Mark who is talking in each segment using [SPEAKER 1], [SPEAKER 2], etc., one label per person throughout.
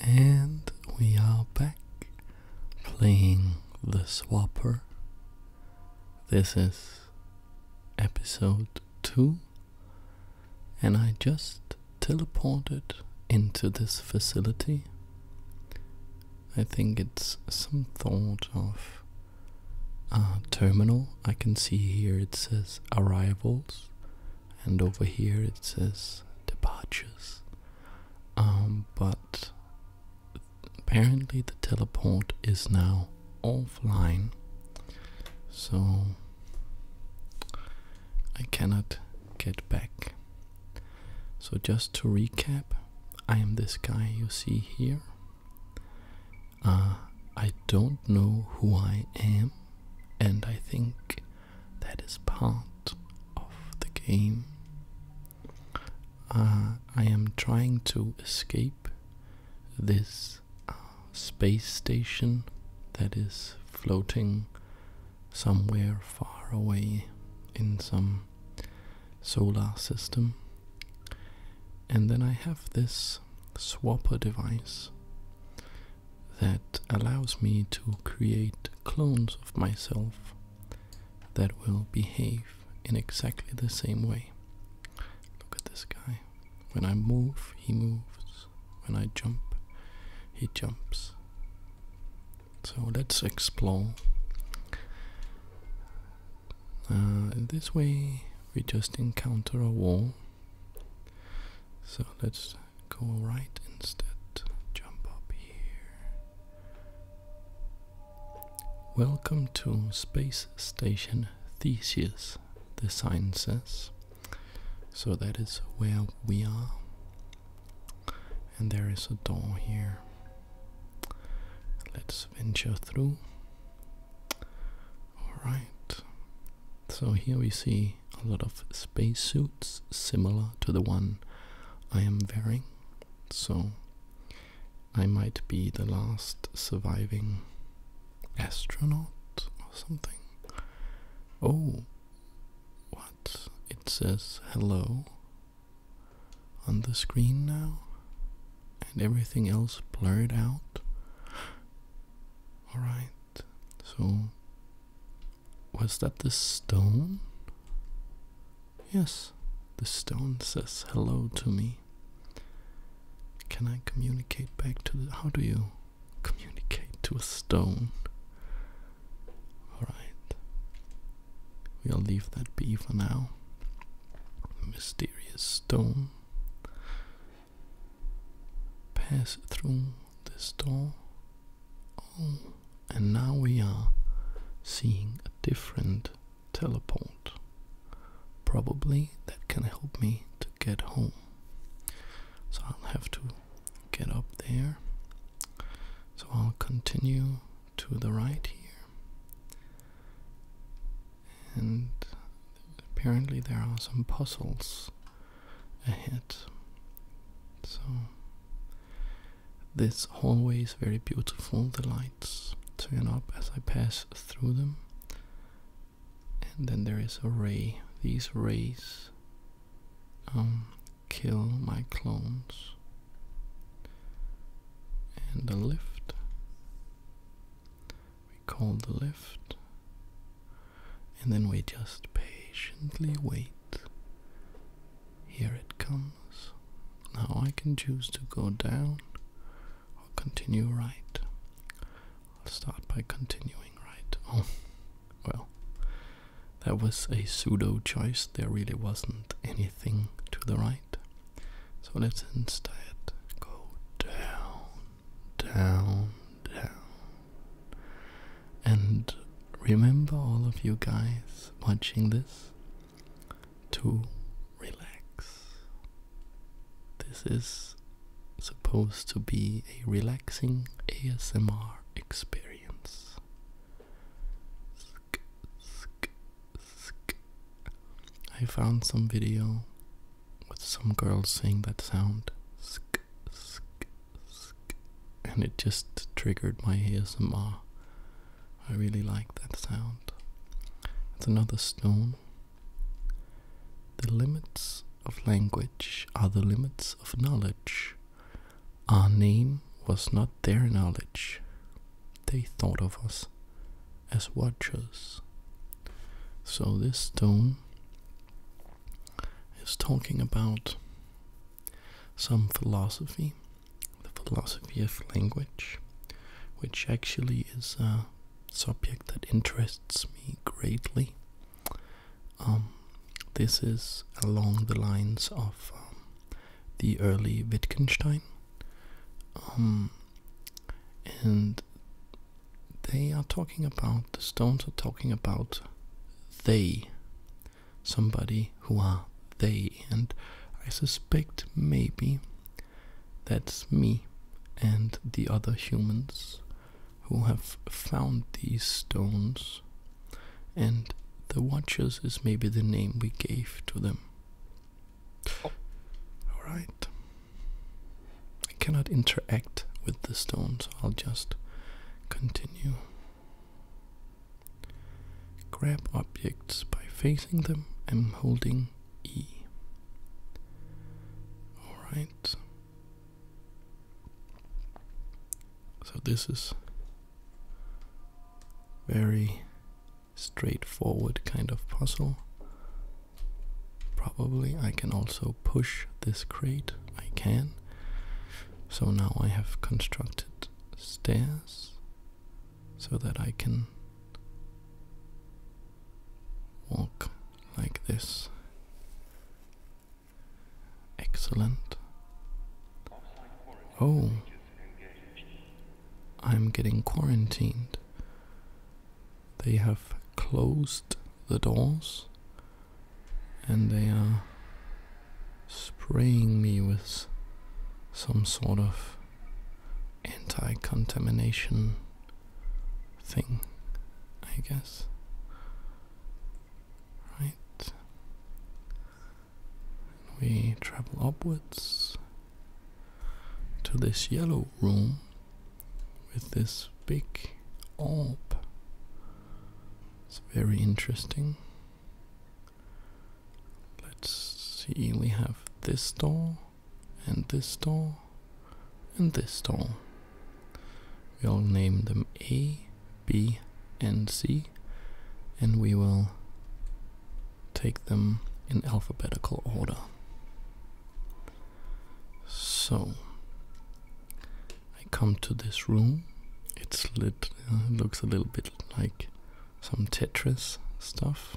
[SPEAKER 1] And we are back playing the swapper. This is episode 2, and I just teleported into this facility. I think it's some sort of a uh, terminal. I can see here it says arrivals, and over here it says departures. Um, but apparently the teleport is now offline, so I cannot get back. So, just to recap, I am this guy you see here. Uh, I don't know who I am, and I think that is part of the game. Uh, I am trying to escape this uh, space station that is floating somewhere far away in some solar system. And then I have this swapper device that allows me to create clones of myself that will behave in exactly the same way. Look at this guy. When I move, he moves. When I jump, he jumps. So let's explore. Uh, this way, we just encounter a wall. So let's go right instead. Jump up here. Welcome to Space Station Theseus, the sign says. So that is where we are. And there is a door here. Let's venture through. Alright. So here we see a lot of spacesuits similar to the one I am wearing, so I might be the last surviving astronaut or something. Oh, what? It says hello on the screen now, and everything else blurred out. Alright, so was that the stone? Yes, the stone says hello to me. Can I communicate back to the. How do you communicate to a stone? Alright. We'll leave that be for now. Mysterious stone pass through this door. Oh, and now we are seeing a different teleport. Probably that can help me to get home. So I'll have to get up there. So I'll continue to the right here. And apparently there are some puzzles Ahead. So this hallway is very beautiful. The lights turn up as I pass through them. And then there is a ray. These rays um, kill my clones. And the lift. We call the lift and then we just patiently wait. Here it comes. Now I can choose to go down or continue right. I'll start by continuing right. Oh, well, that was a pseudo choice. There really wasn't anything to the right. So let's instead go down down, down. And remember, all of you guys watching this, to relax. This is supposed to be a relaxing ASMR experience. Sk, sk, sk. I found some video with some girls saying that sound sk, sk, sk, and it just triggered my ASMR. I really like that sound. It's another stone. The limits of language are the limits of knowledge. Our name was not their knowledge. They thought of us as watchers. So this stone is talking about some philosophy, the philosophy of language, which actually is a subject that interests me greatly. Um, this is along the lines of um, the early Wittgenstein. Um, and they are talking about, the Stones are talking about they, somebody who are they, and I suspect maybe that's me and the other humans who have found these stones, and the Watchers is maybe the name we gave to them. Alright. I cannot interact with the stones, I'll just continue. Grab objects by facing them and holding E. Alright. So this is very straightforward kind of puzzle. Probably I can also push this crate. I can. So now I have constructed stairs so that I can walk like this. Excellent. Oh, I'm getting quarantined. They have closed the doors and they are spraying me with some sort of anti contamination thing, I guess. Right. we travel upwards to this yellow room with this big orb it's very interesting. Let's see, we have this door, and this door, and this door. We'll name them A, B, and C, and we will take them in alphabetical order. So, I come to this room. It looks a little bit like some Tetris stuff.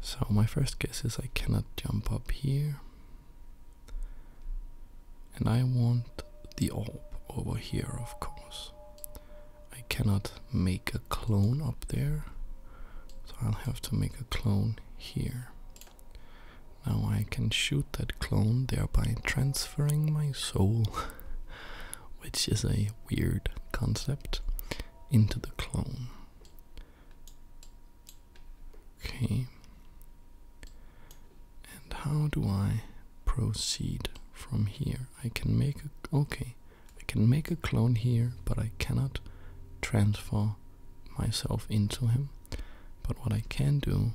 [SPEAKER 1] So my first guess is I cannot jump up here. And I want the orb over here, of course. I cannot make a clone up there. So I'll have to make a clone here. Now I can shoot that clone, thereby transferring my soul, which is a weird concept, into the clone. Okay. And how do I proceed from here? I can make a okay. I can make a clone here, but I cannot transfer myself into him. But what I can do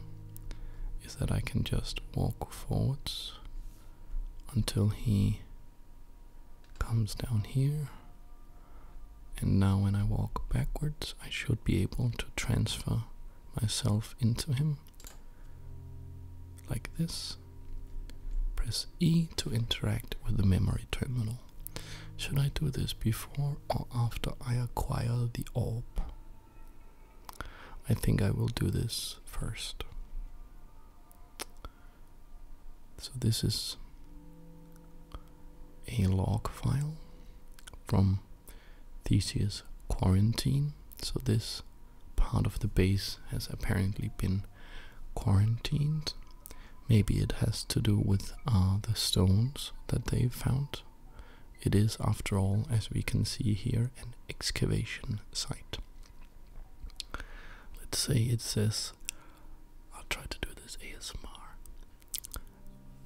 [SPEAKER 1] is that I can just walk forwards until he comes down here. And now when I walk backwards, I should be able to transfer myself into him like this. Press E to interact with the memory terminal. Should I do this before or after I acquire the orb? I think I will do this first. So, this is a log file from Theseus Quarantine. So, this part of the base has apparently been quarantined. Maybe it has to do with uh, the stones that they found. It is, after all, as we can see here, an excavation site. Let's say it says, I'll try to do this ASMR.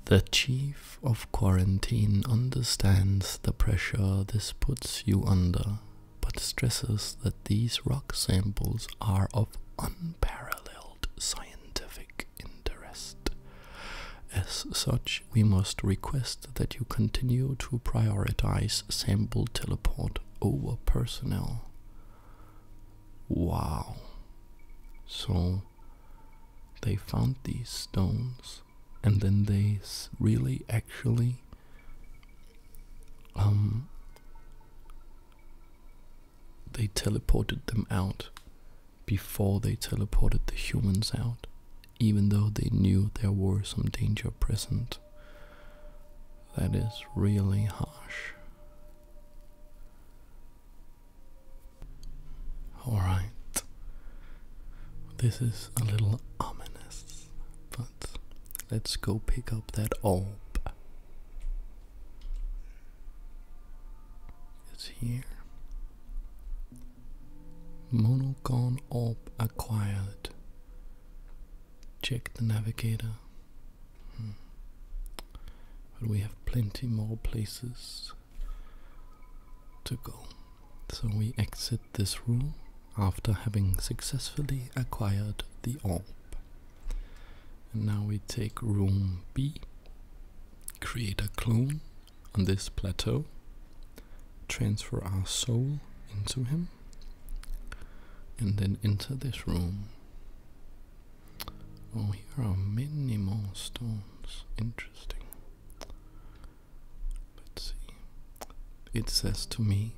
[SPEAKER 1] The chief of quarantine understands the pressure this puts you under, but stresses that these rock samples are of unparalleled scientific interest. As such, we must request that you continue to prioritize sample teleport over personnel. Wow. So they found these stones and then they really actually um they teleported them out before they teleported the humans out, even though they knew there were some danger present. That is really harsh. Alright. This is a little ominous, but let's go pick up that orb. It's here. Monocon Orb acquired. Check the navigator. Hmm. But we have plenty more places to go. So we exit this room after having successfully acquired the orb. And now we take room B, create a clone, on this plateau, transfer our soul into him, and then enter this room. Oh, here are many more stones. Interesting. Let's see. It says to me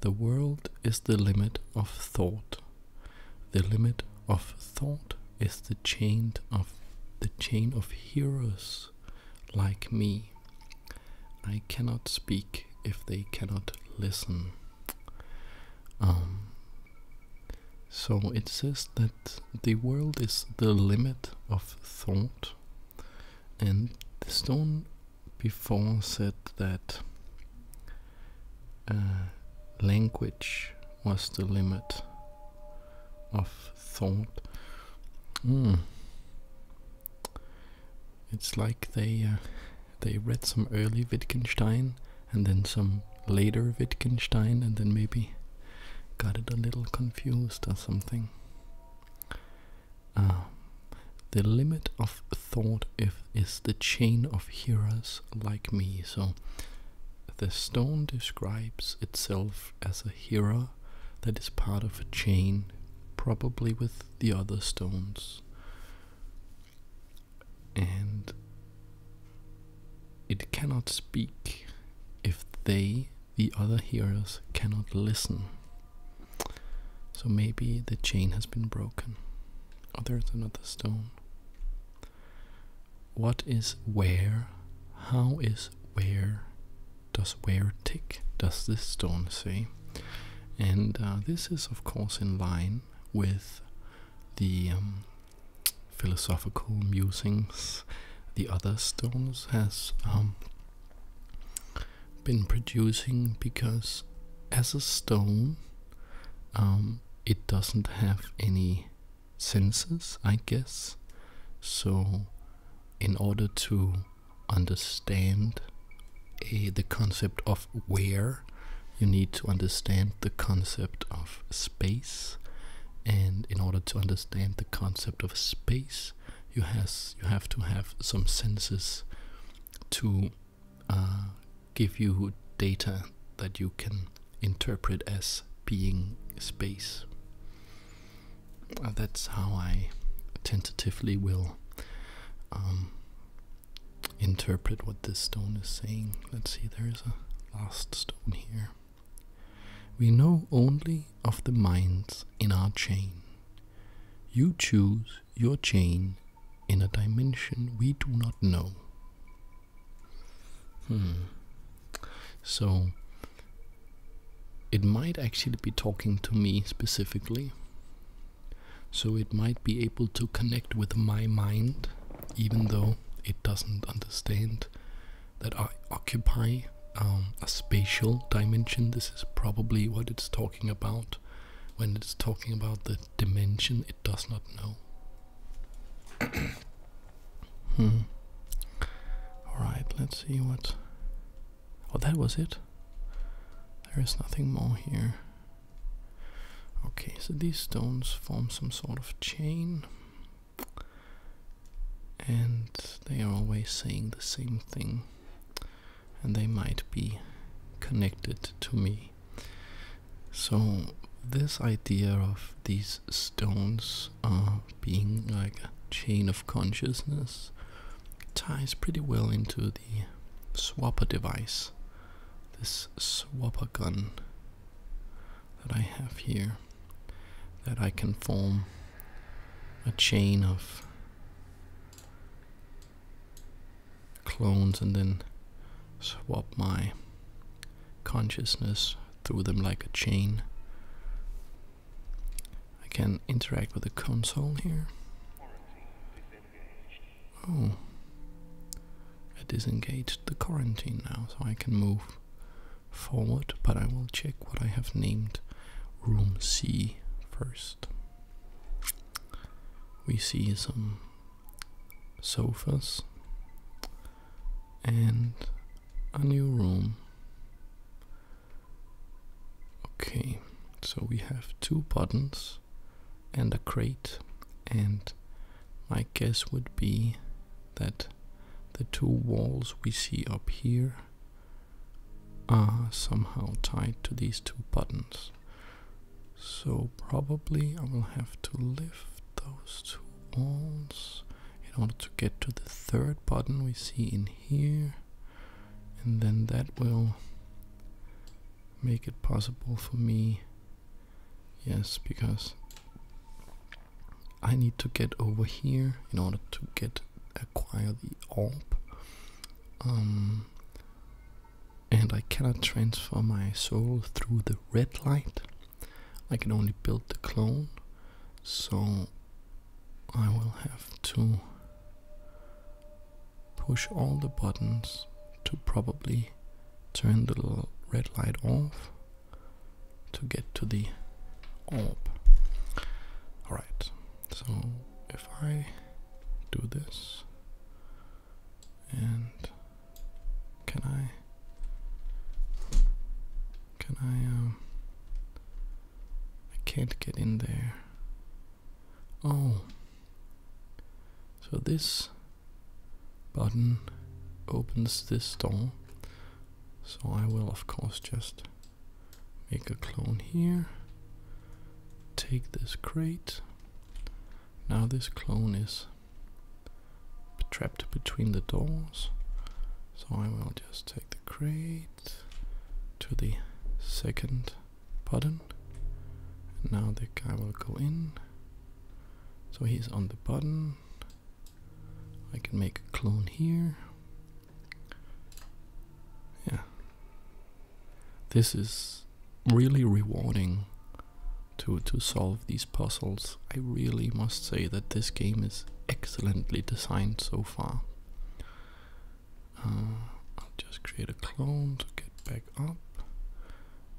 [SPEAKER 1] The world is the limit of thought. The limit of thought is the chain of the chain of hearers, like me. I cannot speak if they cannot listen. Um, so it says that the world is the limit of thought, and the stone before said that uh, language was the limit of thought, hmm. it's like they uh, they read some early Wittgenstein and then some later Wittgenstein and then maybe got it a little confused or something. Ah. the limit of thought if is the chain of hearers like me. So the stone describes itself as a hero, that is part of a chain, probably with the other stones. And it cannot speak if they, the other heroes, cannot listen. So maybe the chain has been broken. Oh, there's another stone what is where, how is where, does where tick, does this stone say? And uh, this is, of course, in line with the um, philosophical musings the other stones has um, been producing because as a stone um, it doesn't have any senses, I guess. So, in order to understand a, eh, the concept of where, you need to understand the concept of space. And in order to understand the concept of space, you has you have to have some senses to uh, give you data that you can interpret as being space. Uh, that's how I tentatively will um, interpret what this stone is saying. Let's see, there's a last stone here. We know only of the minds in our chain. You choose your chain in a dimension we do not know. Hmm. So it might actually be talking to me specifically. So it might be able to connect with my mind, even though it doesn't understand that I occupy um, a spatial dimension. This is probably what it's talking about when it's talking about the dimension it does not know. Hmm. Alright, let's see what. Oh, that was it. There is nothing more here. Okay, so these stones form some sort of chain. And they are always saying the same thing. And they might be connected to me. So, this idea of these stones are being like a chain of consciousness ties pretty well into the swapper device, this swapper gun that I have here, that I can form a chain of clones and then swap my consciousness through them like a chain I can interact with the console here. Oh, I disengaged the quarantine now, so I can move forward, but I will check what I have named room C first. We see some sofas, and a new room. Okay, so we have two buttons and a crate, and my guess would be that the two walls we see up here are somehow tied to these two buttons. So probably I will have to lift those two walls in order to get to the third button we see in here and then that will make it possible for me yes because I need to get over here in order to get acquire the orb um, and I cannot transfer my soul through the red light I can only build the clone, so I will have to push all the buttons to probably turn the red light off to get to the orb. Alright, so if I do this and can I can I, um, I can't get in there. Oh. So this button opens this door. So I will, of course, just make a clone here. Take this crate. Now this clone is trapped between the doors. So I will just take the crate to the second button. And now the guy will go in. So he's on the button. I can make a clone here. Yeah. This is really rewarding to to solve these puzzles I really must say that this game is excellently designed so far. Uh, I'll just create a clone to get back up.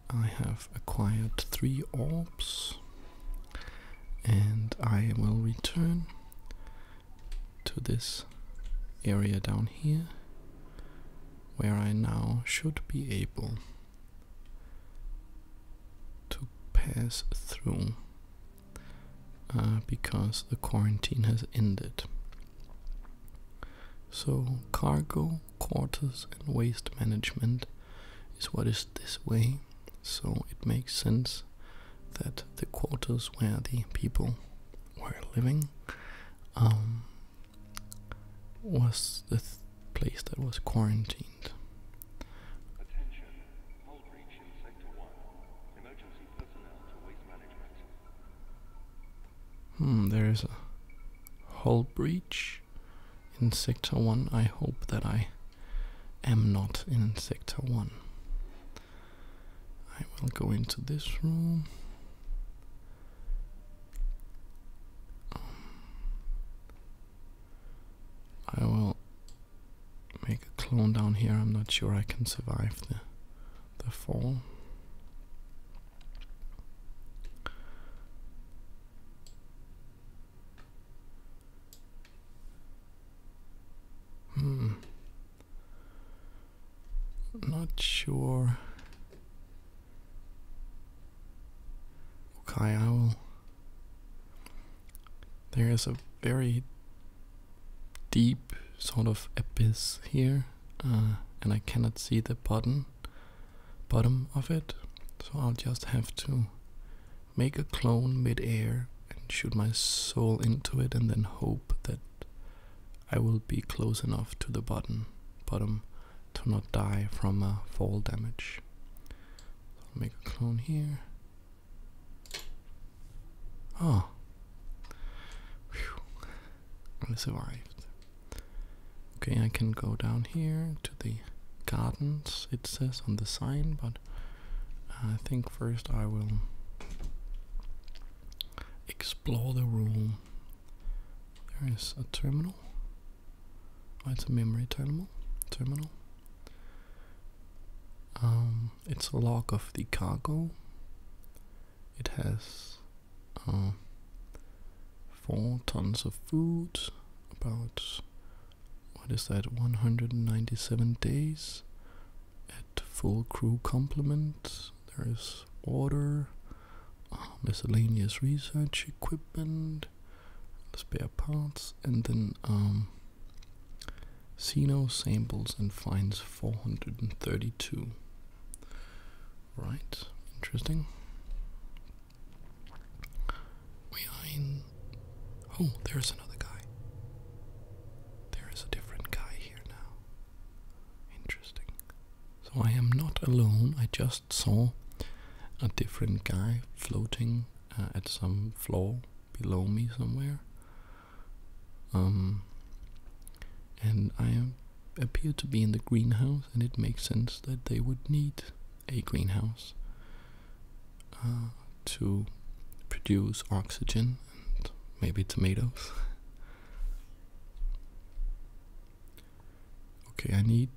[SPEAKER 1] I have acquired three orbs and I will return to this area down here where I now should be able to pass through uh, because the quarantine has ended. So, cargo, quarters, and waste management is what is this way, so it makes sense that the quarters where the people were living um, was the place that was quarantined. Hmm, there is a hull breach in Sector 1. I hope that I am not in Sector 1. I will go into this room. I will make a clone down here. I'm not sure I can survive the the fall. Hmm. Not sure. Okay, I will there is a very deep sort of abyss here, uh, and I cannot see the bottom bottom of it, so I'll just have to make a clone midair and shoot my soul into it, and then hope that I will be close enough to the bottom bottom to not die from uh, fall damage. make a clone here. Oh. I survived. Okay, I can go down here to the gardens, it says on the sign, but I think first I will explore the room. There is a terminal. Oh, it's a memory terminal. Terminal. Um, it's a log of the cargo. It has um, four tons of food, about what is that, 197 days at full crew complement. There is water, uh, miscellaneous research equipment, spare parts, and then um, Sino samples and finds 432. Right, interesting. We Oh, there's another guy. There is a different guy here now. Interesting. So I am not alone, I just saw a different guy floating uh, at some floor below me somewhere. Um, and I appear to be in the greenhouse, and it makes sense that they would need a greenhouse uh, to produce oxygen and maybe tomatoes. okay, I need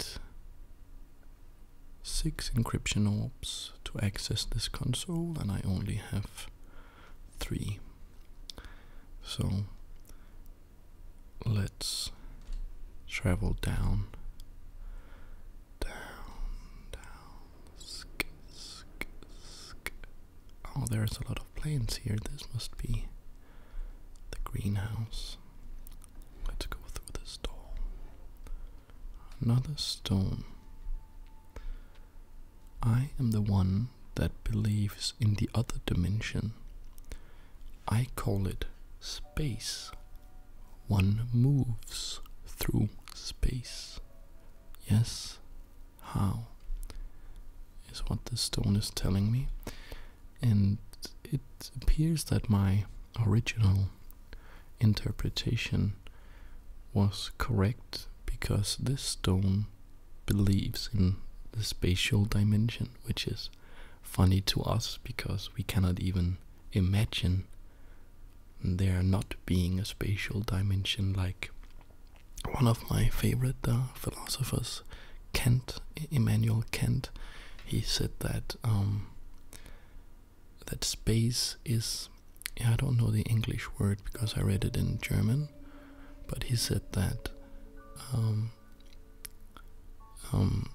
[SPEAKER 1] six encryption orbs to access this console, and I only have three. So let's travel down, down, down. Oh, there's a lot of planes here. This must be the greenhouse. Let's go through this door. Another stone. I am the one that believes in the other dimension. I call it space. One moves through space. Yes, how? Is what the stone is telling me. And it appears that my original interpretation was correct because this stone believes in the spatial dimension, which is funny to us because we cannot even imagine there not being a spatial dimension like one of my favorite uh, philosophers, Kant, Immanuel Kant, he said that um, that space is I don't know the English word because I read it in German, but he said that um, um,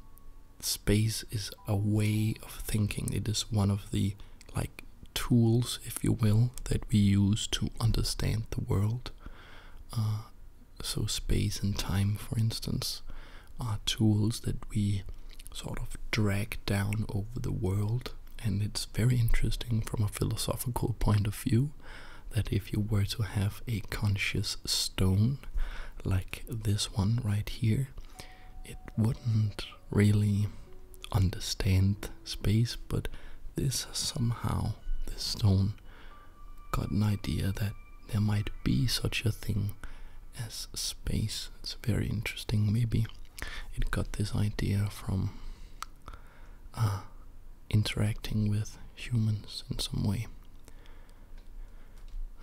[SPEAKER 1] space is a way of thinking. It is one of the like tools, if you will, that we use to understand the world. Uh, so space and time, for instance, are tools that we sort of drag down over the world and it's very interesting from a philosophical point of view that if you were to have a conscious stone like this one right here, it wouldn't really understand space, but this somehow, this stone, got an idea that there might be such a thing as space. It's very interesting, maybe it got this idea from uh, interacting with humans in some way.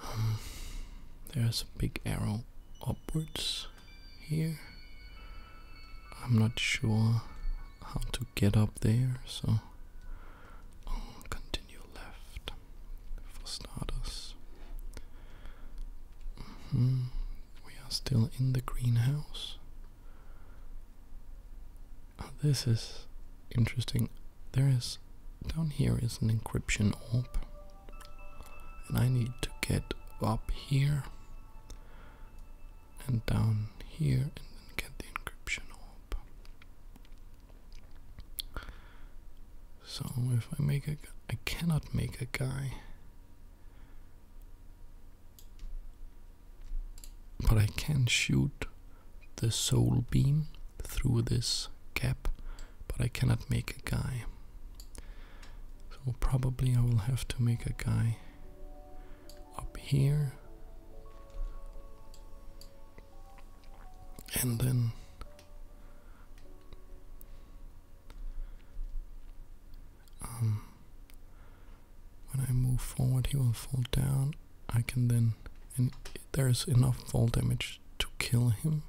[SPEAKER 1] Um, there's a big arrow upwards here. I'm not sure how to get up there, so I'll continue left for starters. -hmm. We are still in the greenhouse. Ah, this is interesting. There is down here is an encryption orb, and I need to get up here and down here and then get the encryption orb. So if I make a, I cannot make a guy. But I can shoot the soul beam through this gap, but I cannot make a guy. So probably I will have to make a guy up here. And then um, when I move forward he will fall down I can then and there's enough fall damage to kill him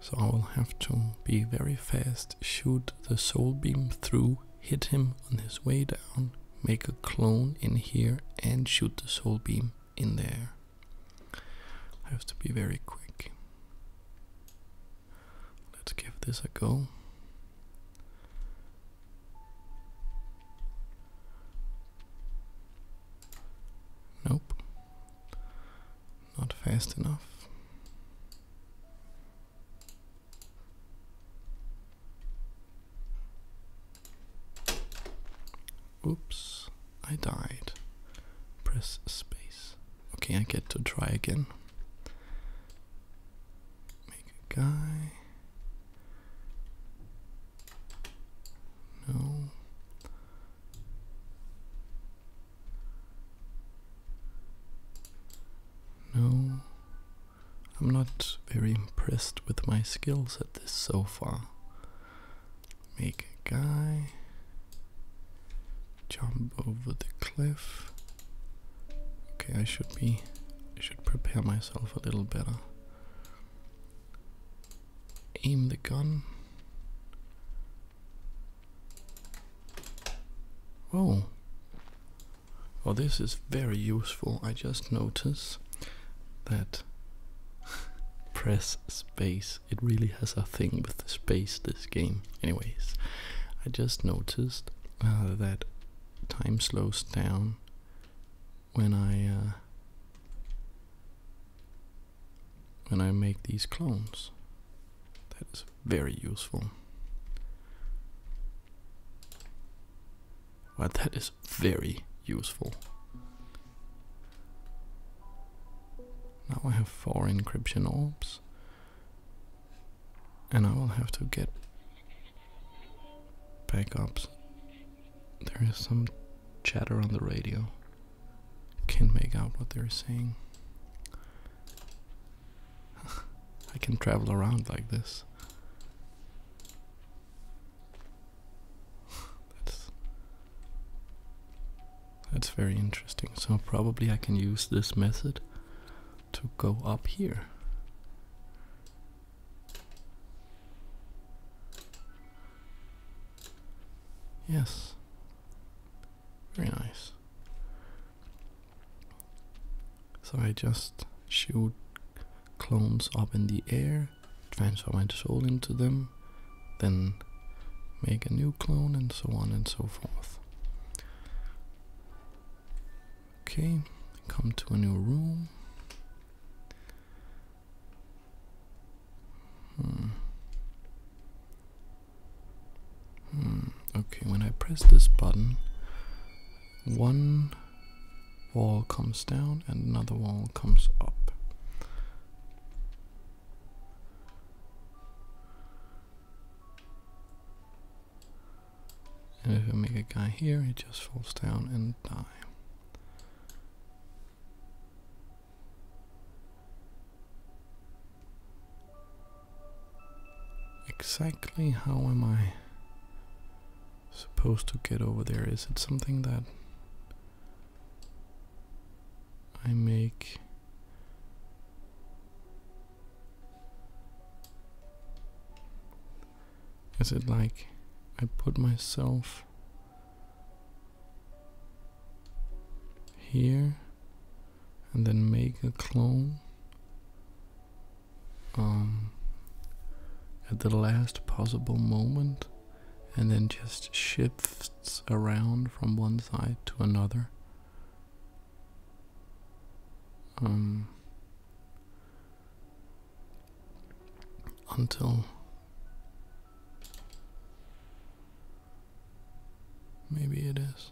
[SPEAKER 1] so I will have to be very fast shoot the soul beam through hit him on his way down make a clone in here and shoot the soul beam in there I have to be very quick Let's give this a go. Nope. Not fast enough. Oops, I died. Press space. Okay, I get to try again. Make a guy. No. No. I'm not very impressed with my skills at this so far make a guy jump over the cliff. Okay, I should be I should prepare myself a little better. Aim the gun. Oh. Oh, this is very useful. I just notice that press space it really has a thing with the space, this game. Anyways, I just noticed uh, that time slows down when I uh, when I make these clones. That is very useful. Well, that is very useful. Now I have four encryption orbs, and I will have to get backups. There is some chatter on the radio. Can't make out what they're saying. I can travel around like this. That's that's very interesting. So probably I can use this method to go up here. Yes. Very nice. So I just shoot clones up in the air, transform my soul into them, then make a new clone and so on and so forth. Okay, come to a new room. Hmm. Hmm, okay, when I press this button, one wall comes down and another wall comes up. And if I make a guy here, he just falls down and die. Exactly how am I supposed to get over there? Is it something that I make... Is it like I put myself here and then make a clone um, at the last possible moment and then just shifts around from one side to another? um, until maybe it is.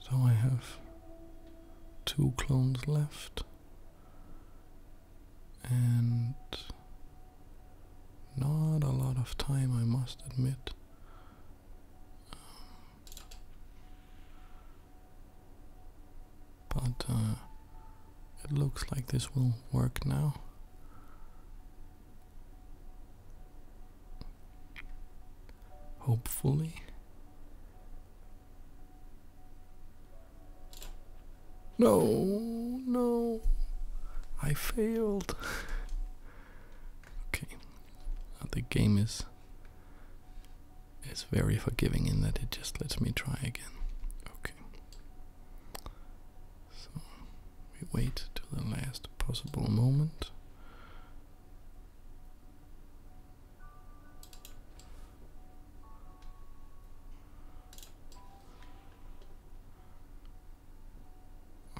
[SPEAKER 1] So I have two clones left, and not a lot of time, I must admit. but uh, it looks like this will work now. Hopefully. No, no, I failed. okay, the game is is very forgiving in that it just lets me try again. Okay, so we wait till the last possible moment.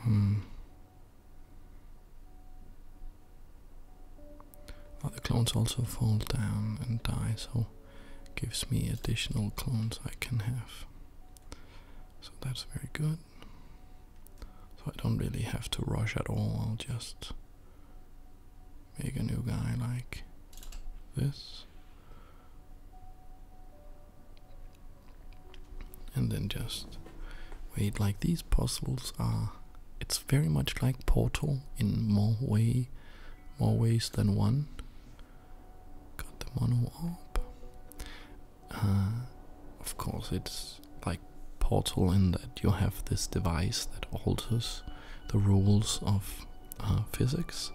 [SPEAKER 1] Hmm. the clones also fall down and die, so gives me additional clones I can have. So that's very good. So I don't really have to rush at all, I'll just make a new guy like this and then just wait like these puzzles are it's very much like portal in more way more ways than one got the mono orb uh, of course it's like portal in that you have this device that alters the rules of uh, physics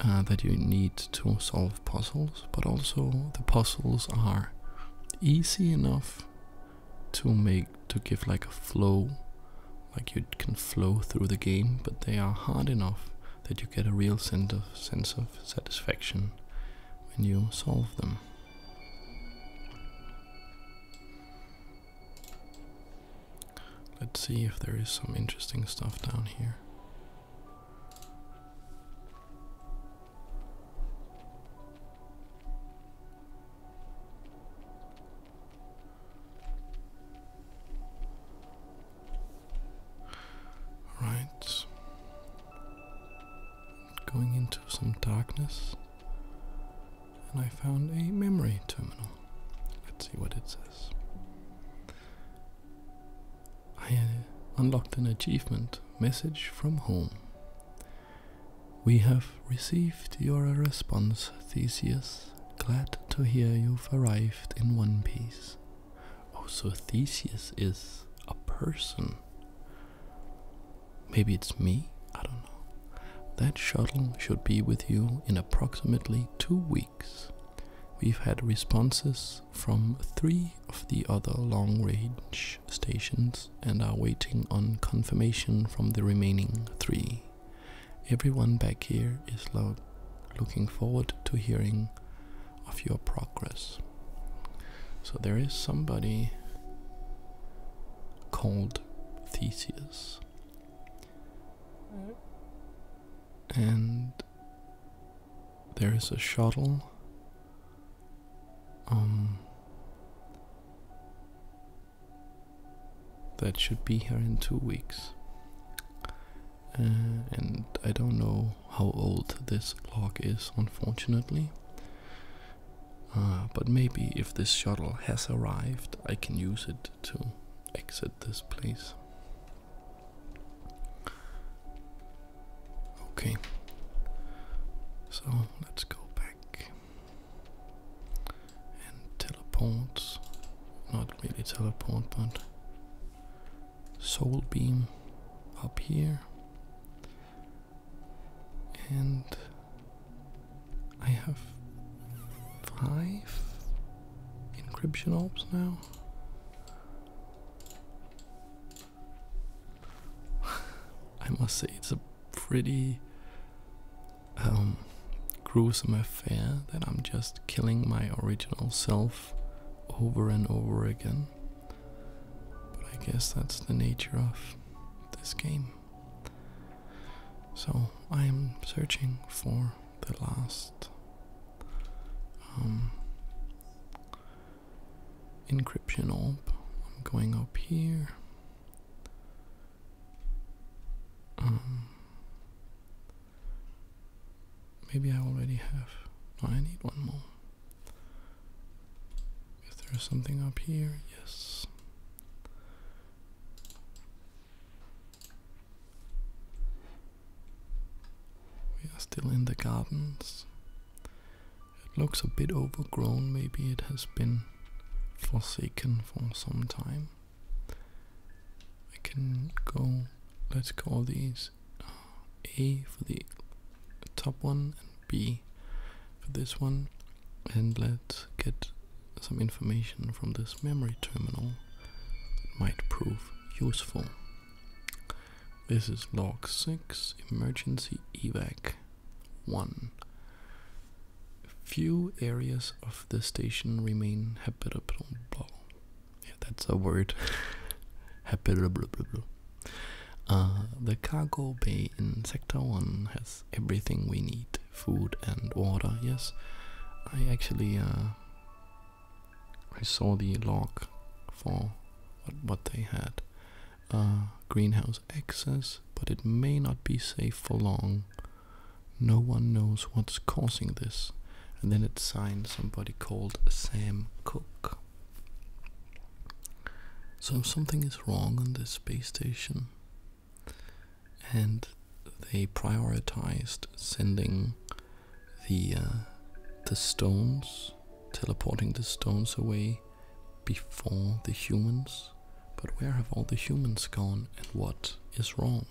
[SPEAKER 1] uh, that you need to solve puzzles, but also the puzzles are easy enough to make to give like a flow, like you can flow through the game, but they are hard enough that you get a real sense of sense of satisfaction when you solve them. Let's see if there is some interesting stuff down here. Right. Going into some darkness, and I found a memory terminal. Let's see what it says. I uh, unlocked an achievement message from home. We have received your response, Theseus. Glad to hear you've arrived in one piece. Oh, so Theseus is a person. Maybe it's me? I don't know. That shuttle should be with you in approximately two weeks we've had responses from three of the other long range stations and are waiting on confirmation from the remaining three. Everyone back here is looking forward to hearing of your progress. So there is somebody called Theseus. And there is a shuttle. Um, that should be here in two weeks. Uh, and I don't know how old this log is, unfortunately. Uh, but maybe if this shuttle has arrived, I can use it to exit this place. Okay, so let's go back and teleport. Not really teleport, but soul beam up here. And I have five encryption orbs now. I must say, it's a pretty um, gruesome affair that I'm just killing my original self over and over again. But I guess that's the nature of this game. So I am searching for the last um, encryption orb. I'm going up here. Um, maybe I already have. I need one more. Is there something up here? Yes. We are still in the gardens. It looks a bit overgrown, maybe it has been forsaken for some time. I can go, let's call these uh, A for the top one and B for this one. And let's get some information from this memory terminal It might prove useful. This is log 6 emergency evac 1. Few areas of the station remain habitable. Yeah, that's a word. habitable. Uh, the cargo bay in Sector 1 has everything we need food and water, yes. I actually uh, I saw the log for what, they had. greenhouse excess, but it may not be safe for long. No one knows what's causing this. And then it signed somebody called Sam Cook. So something is wrong on this space station, and they prioritized sending the the stones, teleporting the stones away before the humans. But where have all the humans gone, and what is wrong?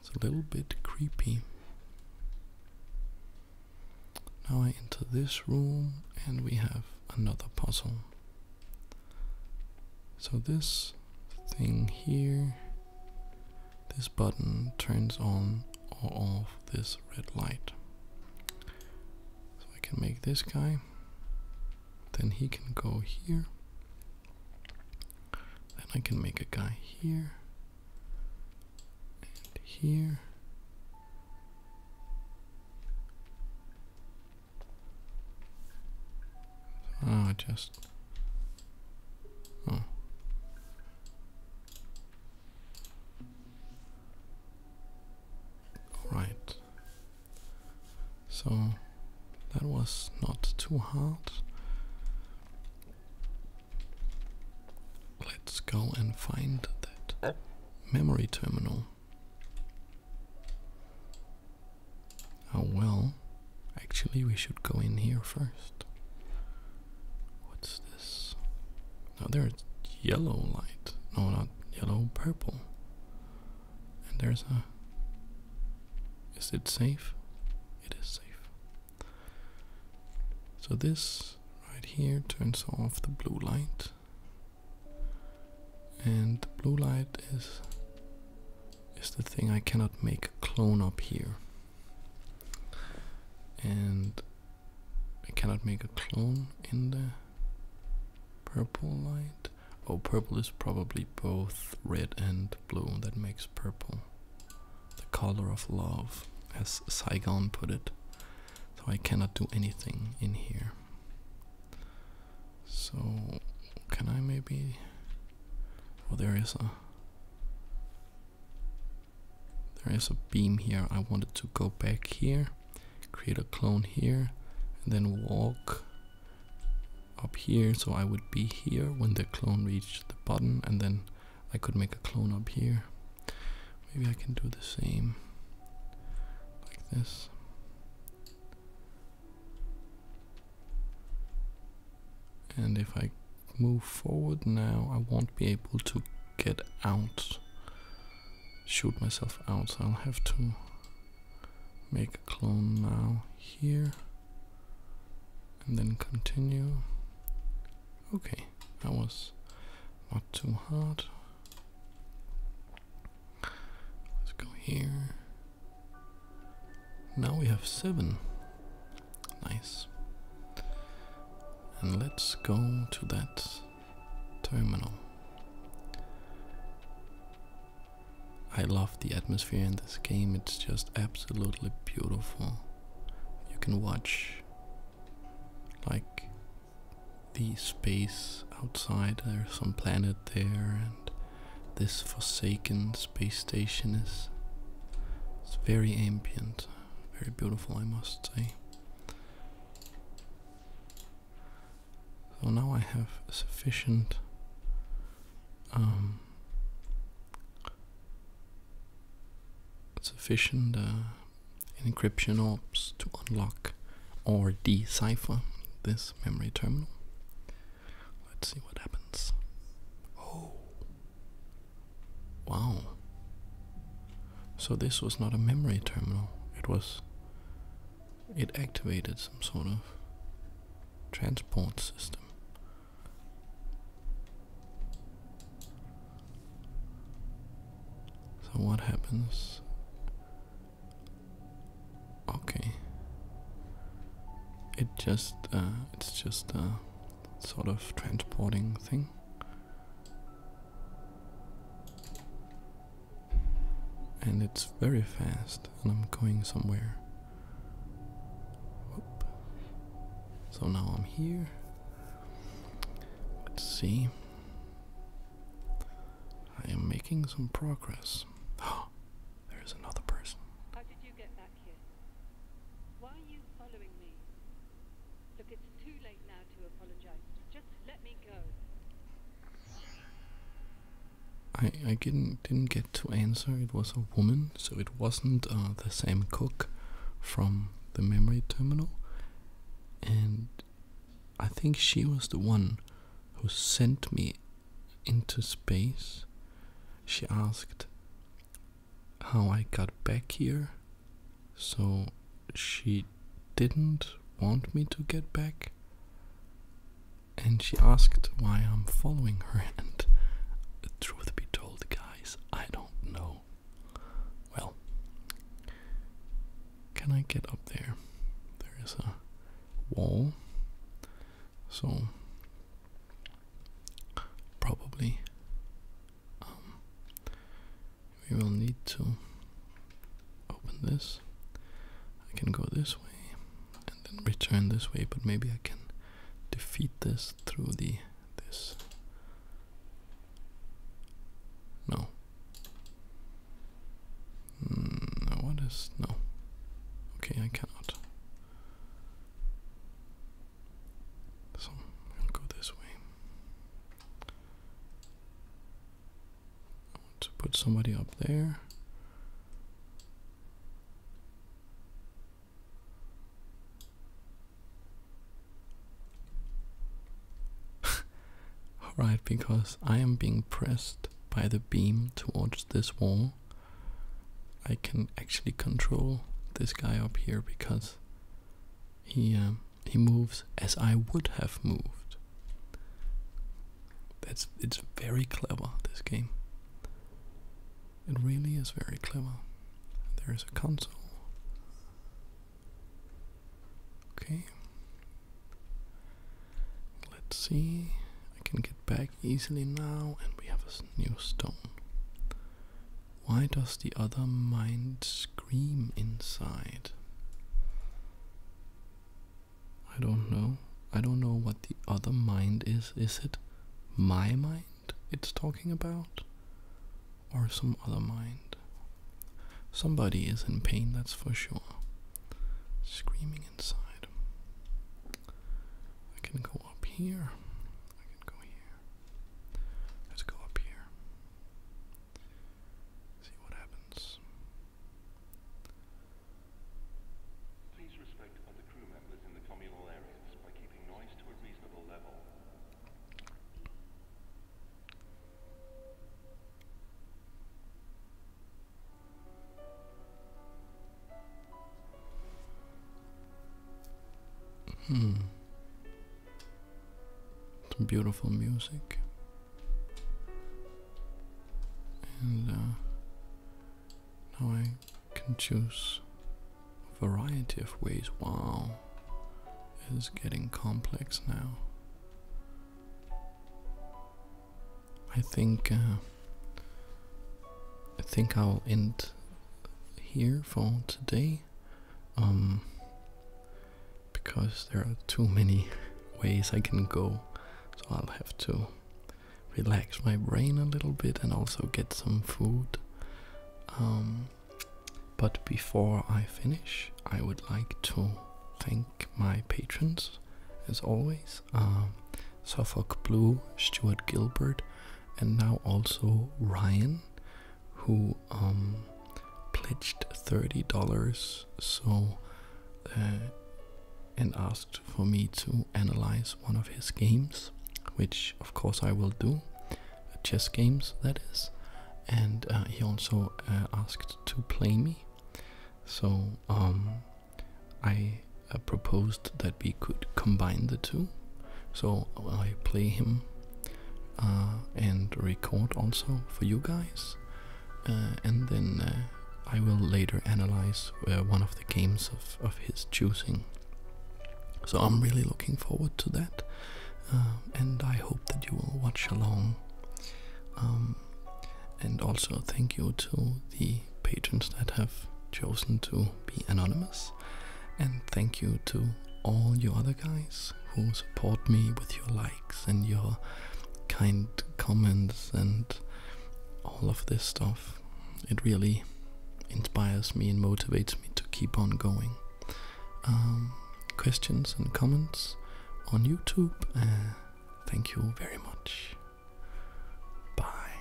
[SPEAKER 1] It's a little bit creepy. Now I enter this room, and we have another puzzle. So this thing here this button turns on or off this red light. So I can make this guy. Then he can go here. Then I can make a guy here. And here. Oh, just. Oh. Right. So that was not too hard. Let's go and find that memory terminal. Oh well. Actually, we should go in here first. What's this? Now there's yellow light. No, not yellow, purple. And there's a. Is it safe? It is safe. So this right here turns off the blue light. And the blue light is is the thing I cannot make a clone up here and I cannot make a clone in the purple light. Oh, purple is probably both red and blue. That makes purple the color of love, as Saigon put it. So I cannot do anything in here. So can I maybe? Oh, there is a there is a beam here. I wanted to go back here, create a clone here, and then walk up here so I would be here when the clone reached the button and then I could make a clone up here. Maybe I can do the same like this and if I move forward now I won't be able to get out shoot myself out so I'll have to make a clone now here and then continue okay that was not too hard let's go here now we have seven Nice. And let's go to that terminal. I love the atmosphere in this game, it's just absolutely beautiful. You can watch like the space outside, there's some planet there, and this forsaken space station is. It's very ambient, very beautiful, I must say. So now I have sufficient um, sufficient uh, encryption ops to unlock or decipher this memory terminal. Let's see what happens. Oh, Wow. So this was not a memory terminal. It was. It activated some sort of transport system. So what happens? Okay. It just. Uh, it's just. Uh, sort of transporting thing. And it's very fast, and I'm going somewhere. So now I'm here. Let's see. I am making some progress. There's another person. Why are you following me? Look, it's too late now to apologize. Just let me go. I I didn't didn't get to answer. It was a woman, so it wasn't uh, the same Cook from the memory terminal, and I think she was the one who sent me into space. She asked, how I got back here. So she didn't want me to get back. And she asked why I'm following her. And truth be told, guys, I don't know. Well, can I get up there? There is a wall. So, probably um, we will need to open this. I can go this way and then return this way, but maybe I can defeat this through the this. No. Mm, what is no? Okay, I cannot. So go this way. I want to put somebody up there. Alright, because I am being pressed by the beam towards this wall. I can actually control this guy up here because he um, he moves as I would have moved. That's it's very clever this game. It really is very clever. There is a console. Okay. Let's see. I can get back easily now, and we have a new stone. Why does the other mind scream inside? I don't know. I don't know what the other mind is. Is it my mind it's talking about? Or some other mind? Somebody is in pain, that's for sure. Screaming inside. I can go up here. I can go here. Let's go up here. See what happens. Please respect other crew members in the communal areas by keeping noise to a reasonable level. Hmm. Some beautiful music. And uh, now I can choose a variety of ways. Wow, it is getting complex now. I think uh, I think I'll end here for today. Um, because there are too many ways I can go so I'll have to relax my brain a little bit and also get some food um, but before I finish I would like to thank my patrons as always uh, Suffolk Blue Stuart Gilbert and now also Ryan who um, pledged $30 so and asked for me to analyze one of his games, which of course I will do, uh, chess games that is. And uh, he also uh, asked to play me, so um, I proposed that we could combine the two. So I play him uh, and record also for you guys. Uh, and then uh, I will later analyze one of the games of, of his choosing. So I'm really looking forward to that, and I hope that you will watch along. Um, and also, thank you to the patrons that have chosen to be anonymous. And thank you to all you other guys who support me with your likes and your kind comments and all of this stuff. It really inspires me and motivates me to keep on going. Um, questions and comments on YouTube. Uh, thank you very much. Bye.